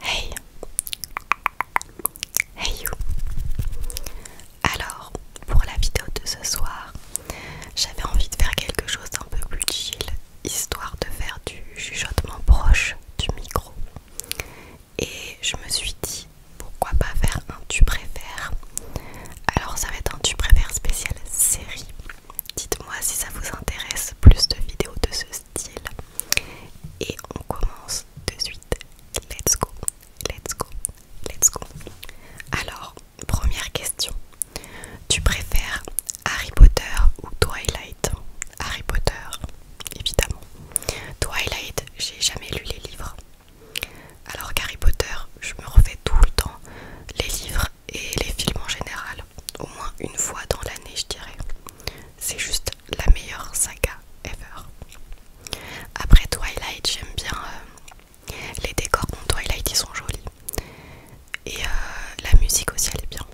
Hey Hey you Alors, pour la vidéo de ce soir, j'avais envie de faire quelque chose d'un peu plus chill, histoire de faire du chuchotement proche du micro. Et je me suis dit, pourquoi pas faire un tu préfères Alors ça va être un tu préfères spécial série. Dites-moi si ça vous intéresse plus de vidéos de ce style. Et on commence de suite. Let's go, let's go, let's go. Alors, première question. Tu préfères Harry Potter ou Twilight Harry Potter, évidemment. Twilight, j'ai jamais lu les livres. Alors qu'Harry Potter, je me refais tout le temps les livres et les films en général, au moins une fois dans l'année, je dirais. C'est juste la meilleure saga ever. Après Twilight, j'aime bien euh, les décors de Twilight, ils sont jolis. Et euh, la musique aussi, elle est bien.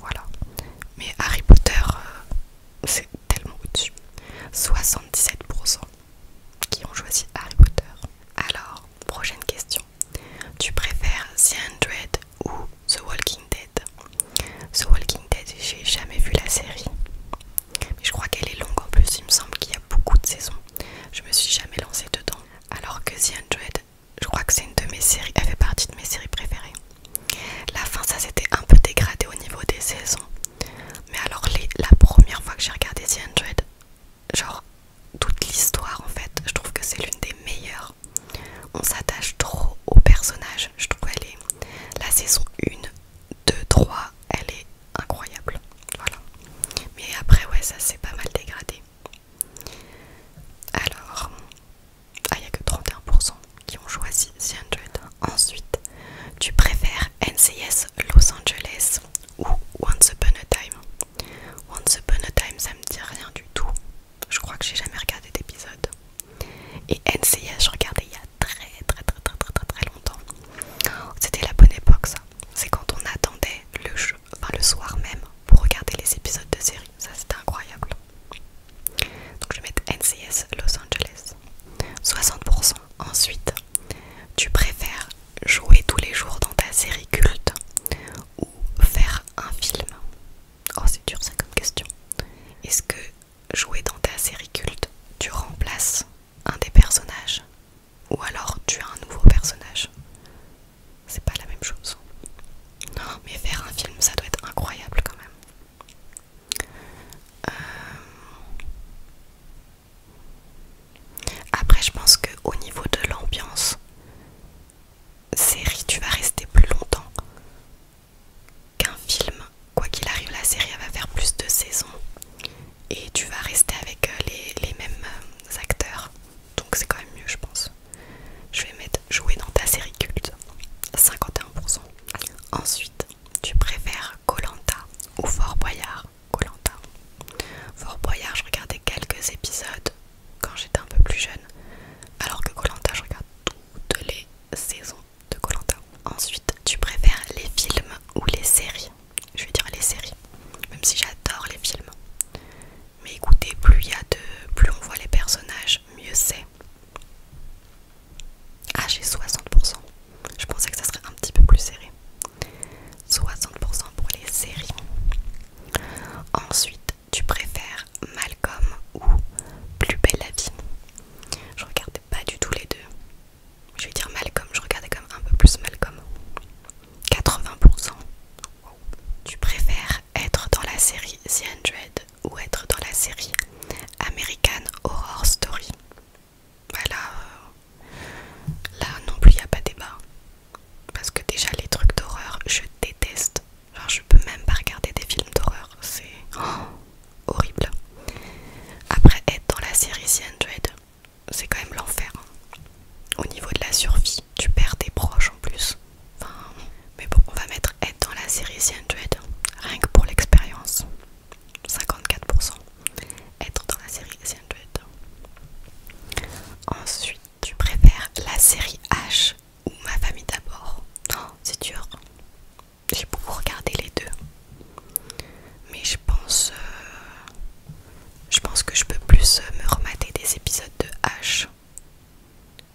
Voilà. Mais Harry Potter, euh, c'est tellement au-dessus. 77% qui ont choisi Harry Potter. Alors, prochaine question. Tu préfères The Hundred ou The Walking Dead The Walking Dead, j'ai jamais vu la série. Mais je crois qu'elle est longue en plus, il me semble qu'il y a beaucoup de saisons. Je me suis jamais lancée dedans. Alors que The Hundred, je crois que c'est une de mes séries, elle fait partie de mes séries préférées. La fin, ça s'était un peu dégradé au niveau des saisons. Mais alors, la première fois que j'ai regardé The Hundred, genre toute l'histoire en fait. Je trouve que c'est l'une des meilleures. On s'attache trop au personnage. Je trouve elle est la saison 1, 2, 3, elle est incroyable. Voilà. Mais après ouais ça s'est pas mal dégradé. Alors, il ah, n'y a que 31% qui ont choisi The Ensuite, tu préfères NCS Los Angeles ou Once Upon a Time Once Upon a Time ça me dit rien du tout. Je crois que j'ai jamais regardé d'épisode. Et NCS je regardais il y a très très très très très très, longtemps. C'était la bonne époque ça. C'est quand on attendait le, jeu, le soir même pour regarder les épisodes de série. Ça c'était incroyable. Donc je vais mettre NCS Los Angeles. 60%. Ensuite, tu préfères jouer tous les jours dans ta série culte faire un film Oh c'est dur ça comme question. Est-ce que jouer dans ta série culte, tu remplaces un des personnages ou alors tu as un nouveau personnage C'est pas la même chose. Non mais faire un film ça doit être incroyable quand même. Euh, après je pense que au niveau de l'ambiance, série, tu vas rester plus longtemps qu'un film. Quoi qu'il arrive, la série va faire plus de saisons et tu vas rester avec euh, les, mêmes euh, acteurs. Donc c'est quand même mieux, je pense. Je vais mettre jouer dans ta série culte, 51%. Ensuite, tu préfères Colanta ou Fort Boyard. Colanta. Fort Boyard, je regardais quelques épisodes quand j'étais un peu plus jeune, alors que Colanta, je regarde toutes les saisons de Colanta. Ensuite, tu préfères les films ou les séries Je vais dire les séries, même si j'adore les films. Mais écoutez, plus il y a de, plus on voit les personnages, mieux c'est. Ah, j'ai 60%. Je pensais que ça serait un petit peu plus serré. 60% pour les séries. Ensuite, tu préfères Malcolm ou Plus belle la vie. Je regardais pas du tout les deux. Je vais dire Malcolm, je regardais comme un peu plus Malcolm. 80%. Tu préfères être dans la série The 100 ou être dans la série American Horror Story. Voilà, bah euh, là non plus il a pas débat parce que déjà les trucs d'horreur je déteste genre je peux même pas regarder des films d'horreur c'est oh, horrible après être dans la série The c'est quand même l'enfer hein. au niveau de la survie tu perds tes proches en plus enfin, mais bon on va mettre être dans la série The rien que pour l'expérience 54% être dans la série The Ensuite tu préfères la série H ou Ma famille d'abord Non, oh, C'est dur. J'ai beaucoup regardé les deux. Mais je pense euh, je pense que je peux plus euh, me remater des épisodes de H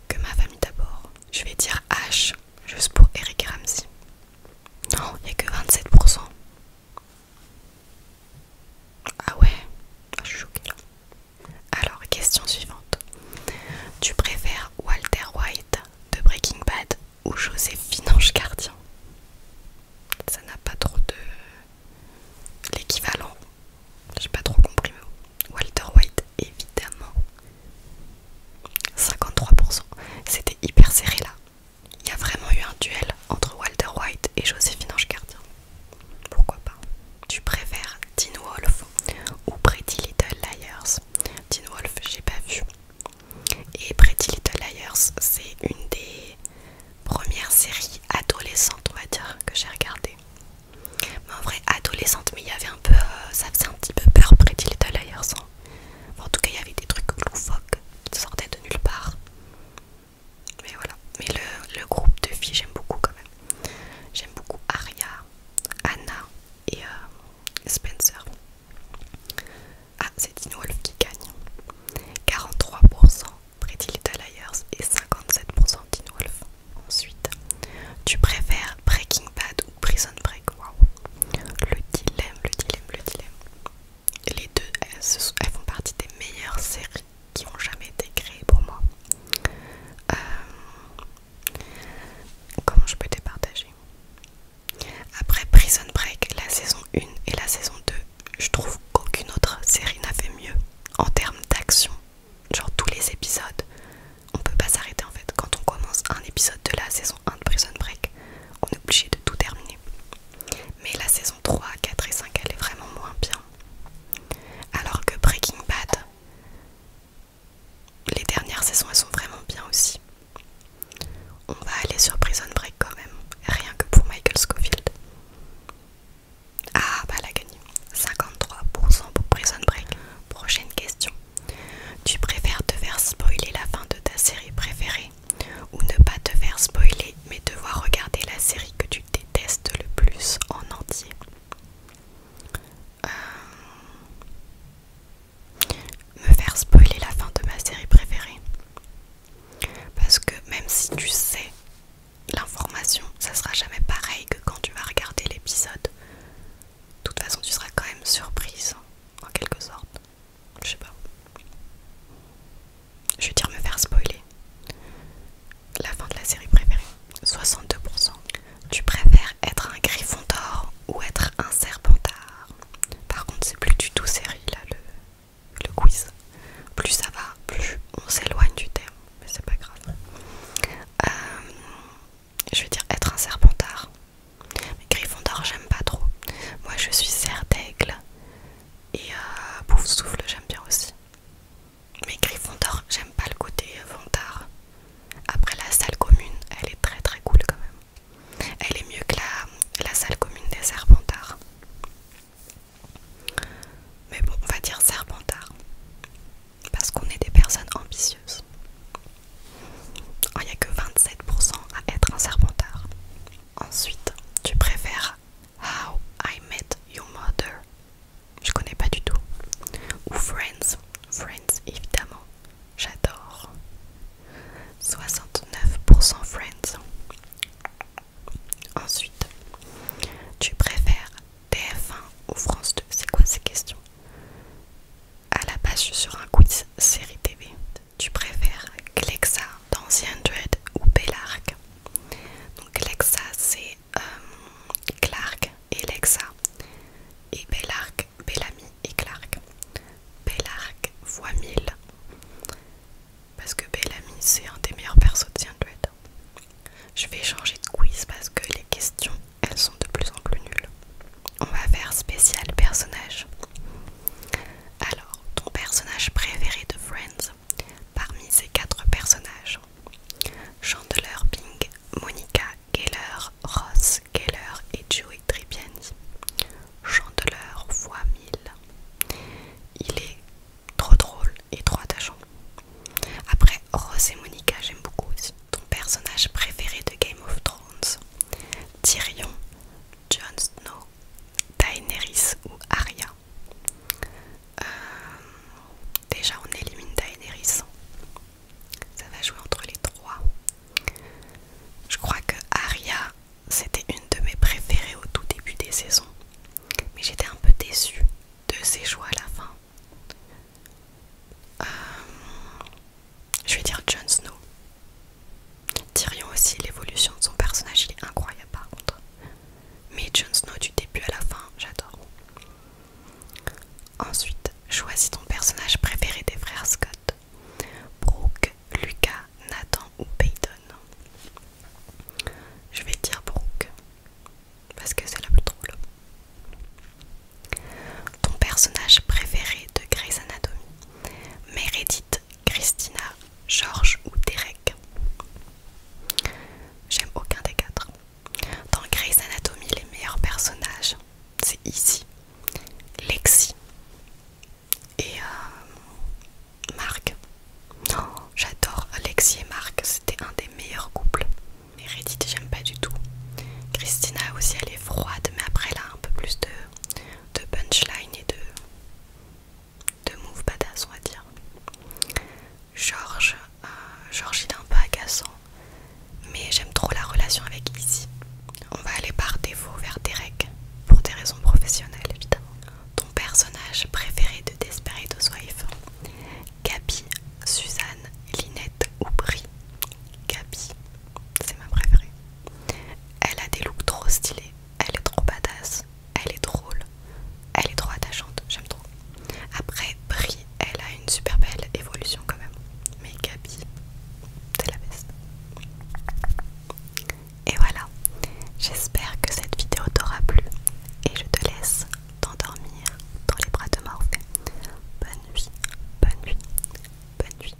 que Ma famille d'abord. Je vais dire H juste pour Eric Ramsey. Non, il n'y a que 27%. Ah ouais, ah, je suis choquée Alors, question suivante. Tu préfères Walter White de Breaking Bad ou José Finanche Gardien Ça n'a pas trop de... l'équivalent. J'ai pas trop compris. Walter White, évidemment. 53%. C'était hyper serré là. Il y a vraiment eu un duel entre Walter White et José Finanche Gardien. Pourquoi pas Tu préfères Teen Wolf ou Pretty Little Liars Teen Wolf, j'ai pas vu. Et Pretty Little Liars, c'est une des premières séries adolescentes, on va dire, que j'ai regardé. en vrai, adolescente, mais il y avait un peu. Euh, ça faisait un petit peu peur, Pretty Little Liars. Hein. en tout cas, il y avait des trucs loufoques qui sortaient de nulle part. Mais voilà. Mais le, groupe de filles, j'aime beaucoup quand même. J'aime beaucoup Aria, Anna et euh, Spencer. Ah, c'est Dino Wolf qui gagne. 43% Pretty Little Liars et 57% Dino Wolf. Ensuite, tu préfères Breaking Bad ou Prison Break Le dilemme, le dilemme, le dilemme. Les deux, elles font partie des meilleures séries qui n'ont jamais été créés pour moi. Euh, comment je peux te partager Après Prison Break, la saison 1 et la saison 2, je trouve qu'aucune autre série n'a fait mieux en termes d'action. Genre tous les épisodes, on peut pas s'arrêter en fait. Quand on commence un épisode de la saison 1 de Prison Break, on est obligé de tout terminer mais la saison 3, 4 et 5 elle est vraiment moins bien. Alors que Breaking Bad, les dernières saisons elles sont vraiment bien aussi. On va aller sur Prison Break quand même, rien que pour Michael Scofield. Ah bah la a 53% pour Prison Break. Prochaine question. Tu préfères te faire spoiler la fin de ta série préférée ou ne pas te faire spoiler mais devoir regarder la série que tu détestes le plus en entier euh, Me faire spoiler la fin de ma série préférée parce que même si tu sais l'information, ça sera jamais pareil que quand tu vas regarder l'épisode. De toute façon, tu seras quand même surprise en quelque sorte je sais pas. Je veux dire me faire spoiler. La fin de la série préférée. 62%. Tu préfères être un griffon d'or ou être un serpentard Par contre, c'est plus du tout série là le, le quiz. Plus ça va, plus on s'éloigne du thème. Mais c'est pas grave. Euh, je veux dire être un serpentard. Mais griffon d'or, j'aime pas trop. Moi, je suis Serdaigle d'aigle. Et Bouffe euh, Souffle, j'aime bien aussi. Mais Gryffondor, j'aime pas le côté ventard. Euh, Après, la salle commune, elle est très très cool quand même. Elle est mieux que la, salle commune des Serpentards. Mais bon, on va dire Serpentard. Parce qu'on est des personnes ambitieuses. Oh, il n'y a que 27% à être un Serpentard. Ensuite, tu préfères How I Met Your Mother. Je connais pas du tout. Ou Friends. Friends, évidemment. J'adore. 69% Friends. Ensuite, tu préfères TF1 ou France 2 C'est quoi ces questions À la base, sur un quiz série TV tu préfères Glexa d'Ancien Dread ou Bellark Donc Glexa c'est euh, Clark et Lexa et Bellark, Bellamy et Clark. Bellark voit 1000 parce que Bellamy c'est un des meilleurs persos de Dread. Je vais changer de quiz parce que les questions elles sont de plus en plus nulles. On va faire spécial personnage. Alors, ton personnage préféré de Friends parmi ces quatre personnages Chandeleur Bing, Monica Keller, Ross Geller et Joey Tribbiani. Chandeleur voix 1000. Il est trop drôle et trop attachant. Après, Ross et Monica, j'aime beaucoup Ton personnage préféré de Game of Thrones Tyrion, Jon Snow, Daenerys ou Arya. Euh, déjà on élimine Daenerys. Ça va jouer entre les trois. Je crois que Arya, c'était une de mes préférées au tout début des saisons. Mais j'étais un peu déçue de ses choix à la fin. Euh, je vais dire Jon Snow. Dirions aussi, l'évolution de son personnage, il est incroyable par contre. Mais Jon Snow du début à la fin, j'adore. Ensuite, choisis ton personnage préféré des frères Scott. Brooke, Lucas, Nathan ou Peyton. Je vais dire Brooke, parce que c'est la plus drôle. Ton personnage préféré de Grey's Anatomy Meredith, Christina, Georges ou Derek. J'aime aucun des quatre. Dans Grey's Anatomy, les meilleurs personnages, c'est ici Lexi et euh, Marc. J'adore Lexi et Marc, c'était un des meilleurs couples. Meredith, j'aime pas du tout. Christina aussi, elle est froide, mais après elle a un peu plus de de punchline et de, de move badass, on va dire. Georges, George euh, Georges il est un peu agaçant, mais j'aime trop la relation avec Izzy. On va aller par défaut vers Derek, pour des raisons professionnelles évidemment. Ton personnage préféré de Desperate Housewives Gabi, Suzanne, Linette ou Brie Gabi, c'est ma préférée. Elle a des looks trop stylés elle est trop badass, elle est drôle, elle est trop attachante, j'aime trop. Après, Brie, elle a une super belle évolution quand même. Mais Gabi, c'est la best. Et voilà, j'espère que cette vidéo t'aura plu et je te laisse t'endormir dans les bras de Morphée. Bonne nuit, bonne nuit, bonne nuit.